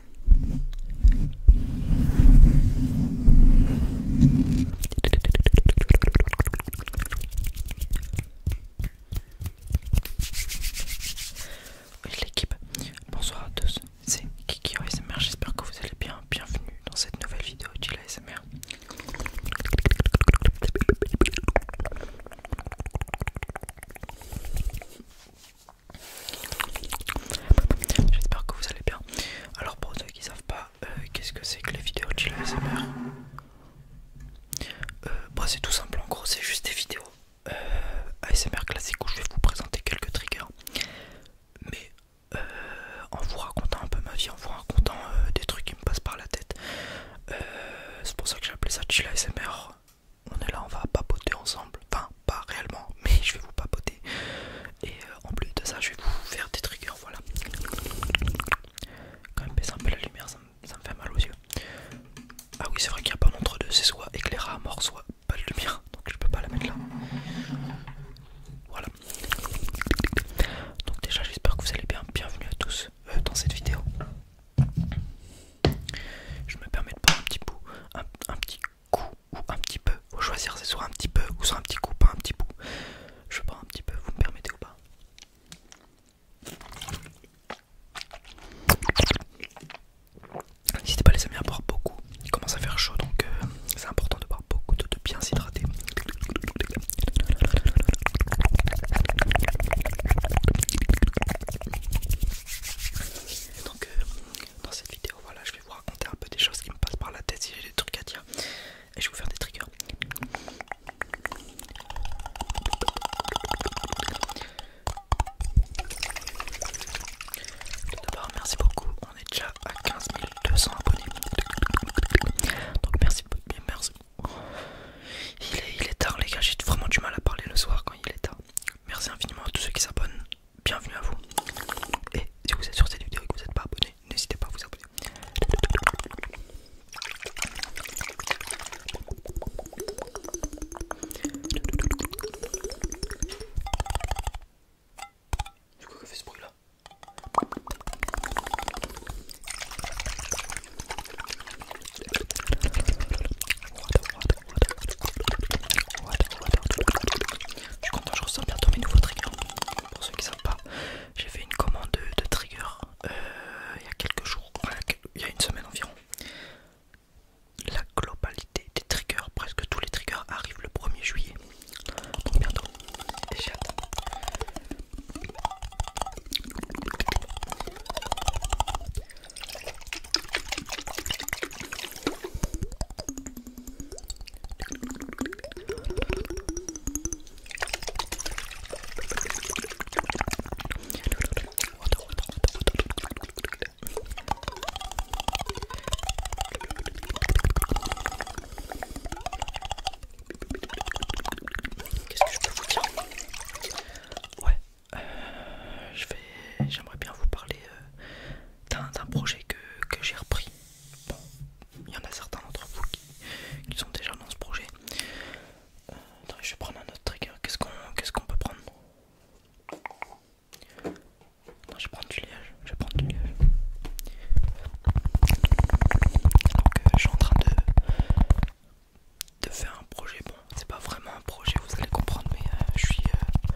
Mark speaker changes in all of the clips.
Speaker 1: Oui, l'équipe, bonsoir à tous, c'est Kiki ASMR, j'espère que vous allez bien, bienvenue dans cette nouvelle vidéo de la J'espère que vous allez bien. Alors pour ceux qui ne savent pas, euh, qu'est-ce que c'est que les vidéos chill ASMR euh, bah, C'est tout simple en gros, c'est juste des vidéos euh, ASMR classiques où je vais vous présenter quelques triggers. Mais en vous racontant un peu ma vie, en vous racontant des trucs qui me passent par la tête. c'est pour ça que j'ai appelé ça chill ASMR. On est là, on va papoter ensemble. Enfin, pas réellement, mais je vais vous papoter. Et euh, en plus de ça, je vais vous faire des triggers. Voilà. Quand même, baisse un peu la lumière, ça me, fait mal aux yeux. Ah oui, c'est vrai qu'il n'y a pas d'entre deux, c'est soit éclaira à mort, soit pas de lumière. Donc je peux pas la mettre là. Voilà. Donc déjà, j'espère que vous allez bien. Bienvenue à tous euh, dans cette vidéo. Je me permets de prendre un petit bout, un petit coup ou un petit peu. Faut choisir, c'est soit un petit peu ou soit un petit coup, pas un petit bout. Je pas un petit peu, vous me permettez ou pas N'hésitez pas les amis à boire beaucoup. Il commence à faire chaud donc euh, c'est important de boire beaucoup, de, bien s'hydrater. Donc euh, dans cette vidéo voilà, je vais vous raconter un peu des choses qui me passent par la tête si j'ai des trucs à dire. Et je vais vous faire des triggers. Tout d'abord, merci beaucoup. On est déjà à 15 200 abonnés. Donc merci, merci. il est tard les gars, j'ai vraiment du mal à parler le soir quand il est tard. Merci infiniment à tous ceux qui s'abonnent bienvenue à vous. Et si vous êtes sur cette vidéo et que vous n'êtes pas abonné, n'hésitez pas à vous abonner. Du coup, que fait ce bruit là je suis content, je ressens bientôt mes nouveaux triggers. Pour ceux qui ne savent pas, j'ai fait une commande de, triggers euh, il y a quelques jours, il y a une semaine environ. La globalité des triggers, presque tous les triggers arrivent le 1er juillet. Donc bientôt. Et Qu'est-ce que je peux vous dire Ouais, euh, je vais, j'aimerais bien vous parler euh, un projet que, j'ai repris. Bon, il y en a certains d'entre vous qui, sont déjà dans ce projet. Euh, je vais prendre un autre trigger. Qu'est-ce qu'on peut prendre je vais prendre du liège, je vais prendre du liège. je suis en train de, de faire un projet, bon, c'est pas vraiment un projet, vous allez comprendre, mais euh, je, suis, euh, je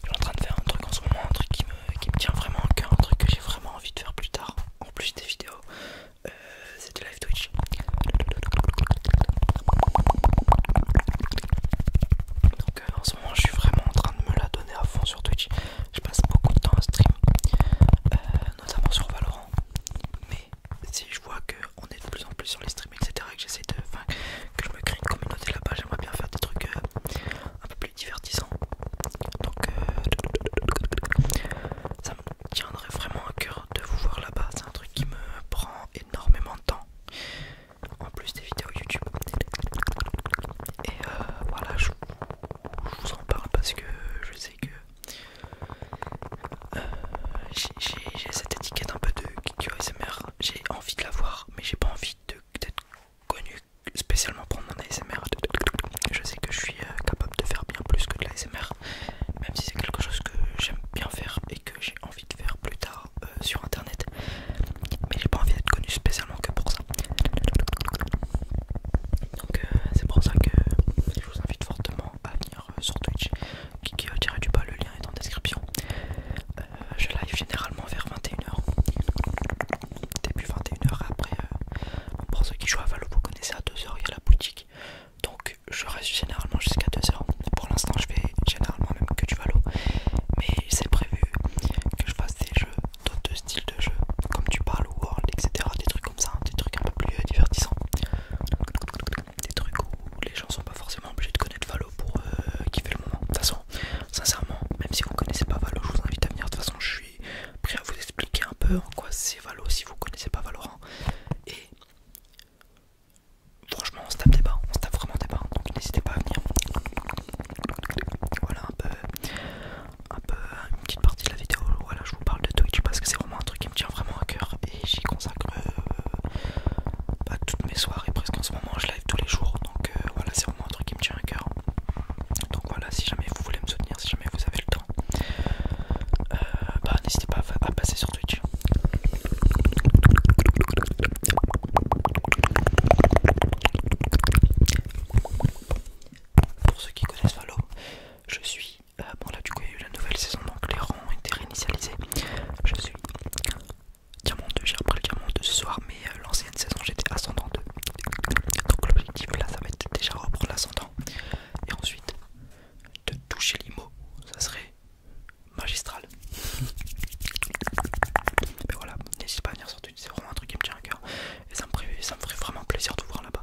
Speaker 1: suis en train de faire un truc en ce un truc qui me, tient vraiment au cœur, un truc que j'ai vraiment envie de faire plus tard, en plus des vidéos, euh, c'est du live Twitch. Donc euh, en ce moment je suis vraiment en train de me la donner à fond sur Twitch. Je passe beaucoup de temps à stream, euh, notamment sur Valorant. Mais si je vois qu'on est de plus en plus sur les streams, etc. que que je me crée une communauté là-bas, j'aimerais bien faire des trucs euh, un peu plus divertissants. Donc, euh, ça me tiendrait vraiment à cœur de vous voir là-bas. C'est un truc qui me prend énormément de temps. En plus des vidéos YouTube. Et euh, voilà, je, vous en parle parce que je sais que j'ai cette étiquette un peu de, c'est J'ai envie de la voir, mais j'ai pas envie peut-être connu spécialement pour mon ASMR. Je sais que je suis euh, capable de faire bien plus que de l'ASMR, même si c'est quelque chose que j'aime bien faire et que j'ai envie de faire plus tard euh, sur internet. Mais j'ai pas envie d'être connu spécialement que pour ça. Donc euh, c'est pour ça que je vous invite fortement à venir sur Twitch. Qui, qui du bas, le lien est en description. Euh, je live généralement vers 21h. Début 21h après, euh, pour ceux qui jouent à Valo, vous connaissez à 2h, il y a la boutique. Donc je reste généralement jusqu'à 2h. Pour l'instant je fais généralement même que du Valo. Mais c'est prévu que je fasse des jeux, d'autres styles de jeux, comme du Palo World, etc. Des trucs comme ça, des trucs un peu plus euh, divertissants. Des trucs où les gens sont pas forcément obligés de connaître Valo pour euh, kiffer le moment. De toute façon, sincèrement, même si vous connaissez pas Valo, je vous invite à venir. De toute façon, je suis prêt à vous expliquer un peu en quoi c'est Valo si vous connaissez pas Valorant. Hein. Et franchement, on se tape des on se tape vraiment des Donc n'hésitez pas à venir. Voilà un peu, un peu une petite partie de la vidéo. Voilà, je vous parle de Twitch parce que c'est vraiment un truc qui me tient vraiment à cœur et j'y consacre pas euh, bah, toutes mes soirées presque en ce moment tous les jours donc euh, voilà c'est vraiment un truc qui me tient à cœur donc voilà si jamais vous voulez me soutenir si jamais vous avez le temps euh, bah n'hésitez pas à, passer sur Twitch pour ceux qui connaissent Valo je suis euh, bon là du coup il y a eu la nouvelle saison donc les rangs ont été réinitialisés je suis Diamant 2, j'ai repris le Diamant 2 ce soir, mais euh, l'ancienne saison j'étais ascendant 2. Donc l'objectif là, ça va être déjà reprendre l'ascendant. Et ensuite, de toucher l'IMO, ça serait magistral. mais voilà, n'hésite pas à venir sur Twitch, c'est vraiment un truc qui me tient à cœur. Et ça me, ferait, vraiment plaisir de voir là-bas.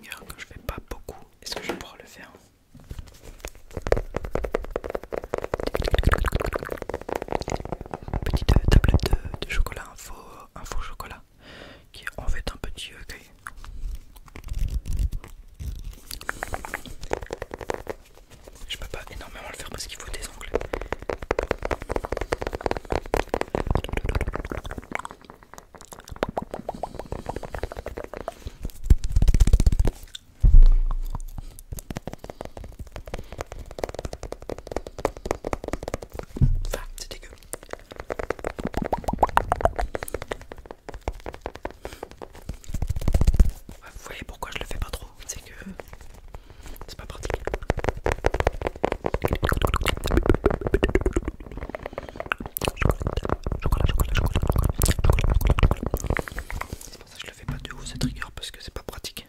Speaker 1: Un que je fais pas beaucoup. Est-ce que je pourrais le faire petite euh, tablette euh, de, chocolat, info euh, faux, chocolat, qui est en fait un petit Je Je peux pas énormément le faire parce qu'il faut des ongles c'est vous voyez pourquoi je le fais pas trop, c'est que c'est pas pratique. C'est pour ça je le fais pas de haut cette rigueur parce que c'est pas pratique.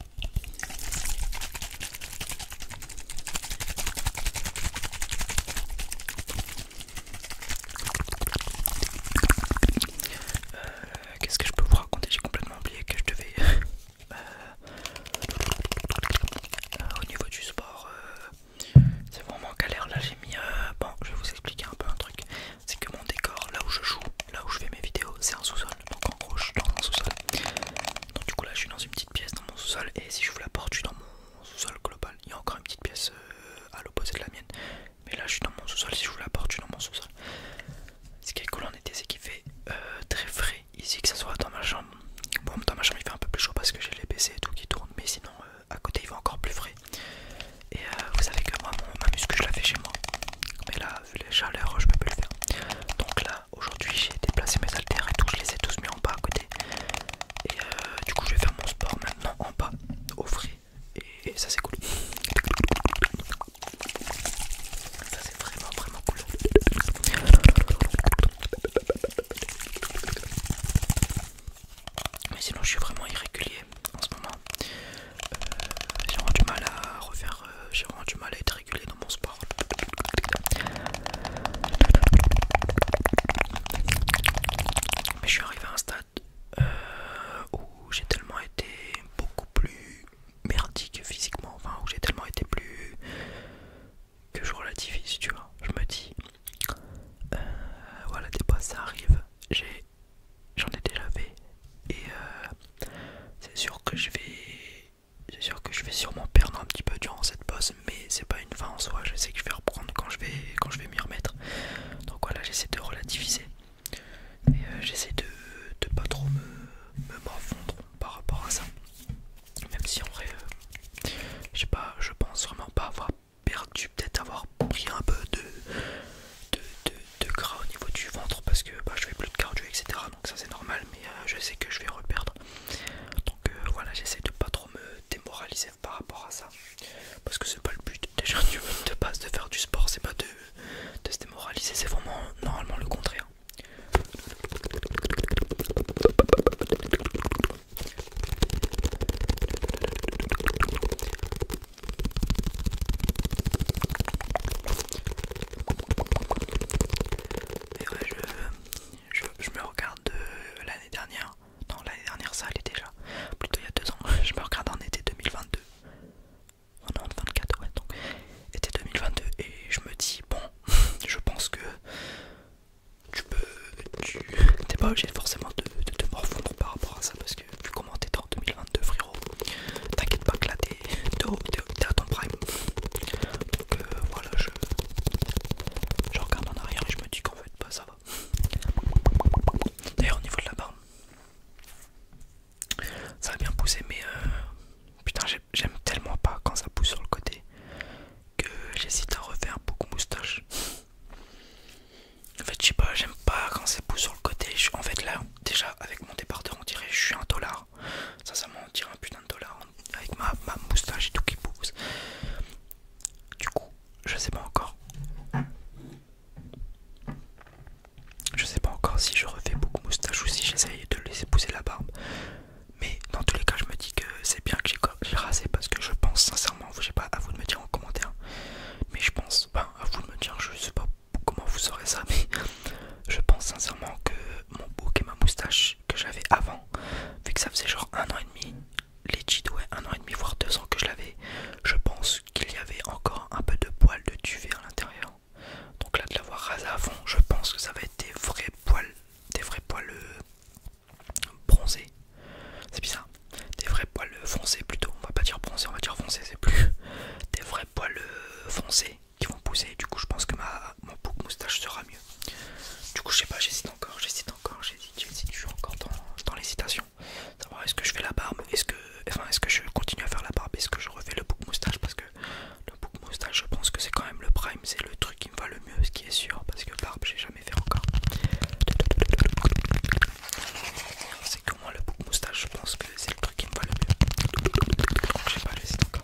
Speaker 1: Euh, qu'est-ce que je peux vous raconter J'ai complètement oublié que je devais. Euh, euh, au niveau du sport, c'est vraiment galère. Là, j'ai mis. bon, je vais vous expliquer un peu un truc c'est que mon décor, là où je joue, là où je fais mes vidéos, c'est en sous-sol. Donc en gros, je suis dans mon sous-sol. Donc du coup, là, je suis dans une petite pièce dans mon sous-sol. Et si je vous la porte, je suis dans mon sous-sol global. Il y a encore une petite pièce euh, à l'opposé de la mienne. Mais là, je suis dans mon sous-sol. Si je vous la porte, je suis dans mon sous-sol. Ce qui est cool en été, c'est qu'il fait euh, très frais ici, que ce soit dans ma chambre. Bon, dans ma chambre, il fait un peu plus chaud parce que j'ai les PC et tout qui tourne Mais sinon, euh, à côté, il fait encore plus frais. Et vous savez que moi, mon, ma muscu, je la fais chez moi. Mais là, les chaleurs, je peux plus le faire. Donc là, aujourd'hui, j'ai déplacé mes haltères et tout, je les ai tous mis en bas à côté. Et euh, du coup, je vais faire mon sport maintenant en bas, au frais. Et ça, c'est cool. Ça, c'est vraiment, vraiment cool. Mais sinon, je suis vraiment irrégulier en ce moment. Euh, j'ai vraiment du mal à refaire, euh, du mal à être régulé dans mon sport. Mais je suis arrivé à un stade euh, où j'ai tellement été beaucoup plus merdique physiquement, enfin où j'ai tellement été plus que je relativise, tu vois. Je me dis, voilà, des fois ça arrive. J'ai j'en ai déjà fait et euh, c'est sûr que je vais sûr que je vais sûrement perdre un petit peu durant cette pause mais c'est pas une fin en soi je sais que je vais reprendre quand je vais quand je vais m'y remettre donc voilà j'essaie de relativiser et euh, j'essaie de, pas trop me m'enfondre par rapport à ça même si en vrai euh, je sais pas je pense vraiment pas avoir perdu peut-être avoir pris un peu de, de gras au niveau du ventre parce que bah, je fais plus de cardio, etc. Donc ça c'est normal, mais euh, je sais que je vais reperdre. Donc euh, voilà, j'essaie de pas trop me démoraliser par rapport à ça. Parce que c'est pas le but déjà du de base de faire du sport, c'est pas de, de se démoraliser, c'est vraiment normalement le contraire je, me regarde de euh, l'année dernière. Non, l'année dernière, ça allait déjà. Plutôt il y a deux ans. Je me regarde en été 2022. en non, 24, ouais, donc été 2022. Et je me dis, bon, je pense que tu peux. Tu n'es pas obligé forcément de, te morfondre par rapport à ça parce que vu comment t'étais en 2022. De frérot T'inquiète pas que là t'es à ton prime Donc euh, voilà je, regarde en arrière et je me dis qu'en fait pas bah, ça va D'ailleurs au niveau de la barbe Ça a bien poussé mais euh, putain j'aime tellement pas quand ça pousse sur le côté que j'hésite à refaire beaucoup moustache en fait, je sais pas, j'aime pas quand ça pousse sur le côté. En fait, là, déjà, avec mon départeur on dirait je suis un dollar. Ça, ça m'en tire un putain de dollar avec ma, moustache et tout qui pousse. Du coup, je sais pas encore. Je sais pas encore si je refais beaucoup moustache ou si j'essaye de laisser pousser la barbe. Mais dans tous les cas, je me dis que c'est bien que j'ai rasé parce que je pense sincèrement, j'ai pas à vous de me dire en commentaire, mais je pense, pas ben, à vous de me dire, je sais pas comment vous saurez ça, mais je pense sincèrement que mon bouc et ma moustache que j'avais avant, vu que ça faisait genre un an et demi, les un an et demi, voire deux ans que je l'avais, je pense qu'il y avait encore un peu de poils de duvet à l'intérieur. Donc là, de l'avoir rasé à je pense que ça va être des vrais poils, des vrais poils euh, bronzés. C'est bizarre, des vrais poils euh, foncés plutôt. On va pas dire bronzés, on va dire foncés, c'est plus des vrais poils euh, foncés qui vont pousser. Du coup, je pense que ma, mon bouc moustache sera mieux. Du coup, je sais pas, j'hésite encore, j'hésite encore, j'hésite, j'hésite. Je suis encore dans, dans l'hésitation. Savoir est-ce que je fais la barbe, est-ce que, enfin, est-ce que je continue à faire la barbe, est-ce que je refais le bouc moustache parce que le bouc moustache, je pense que c'est quand même le prime, c'est le truc qui me va le mieux, ce qui est sûr, parce que barbe, j'ai jamais fait encore c'est que moi le bouc moustache, je pense que c'est le truc qui me va le mieux. J'ai pas le site encore.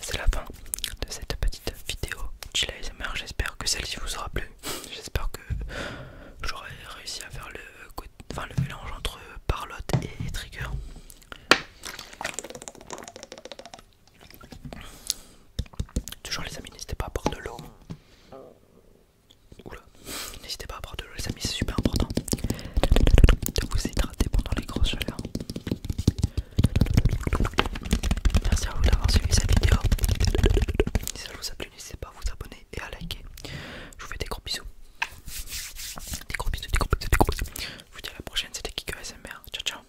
Speaker 1: C'est la fin de cette petite vidéo les J'espère que celle-ci vous aura plu. J'espère que j'aurai réussi à faire le, le mélange entre Parlotte et Trigger. Toujours les amis, n'hésitez pas à boire de l'eau. N'hésitez pas à prendre de l'eau, les amis, c'est super important de vous hydrater pendant les grosses chaleurs. Merci à vous d'avoir suivi cette vidéo. Si ça vous a plu, n'hésitez pas à vous abonner et à liker. Je vous fais des gros bisous. Des gros bisous, des gros bisous, des gros bisous. Je vous dis à la prochaine, c'était Kiko Ciao, ciao.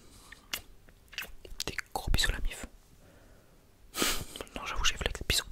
Speaker 1: Des gros bisous, la mif. Non, j'avoue, j'ai flex. Bisous.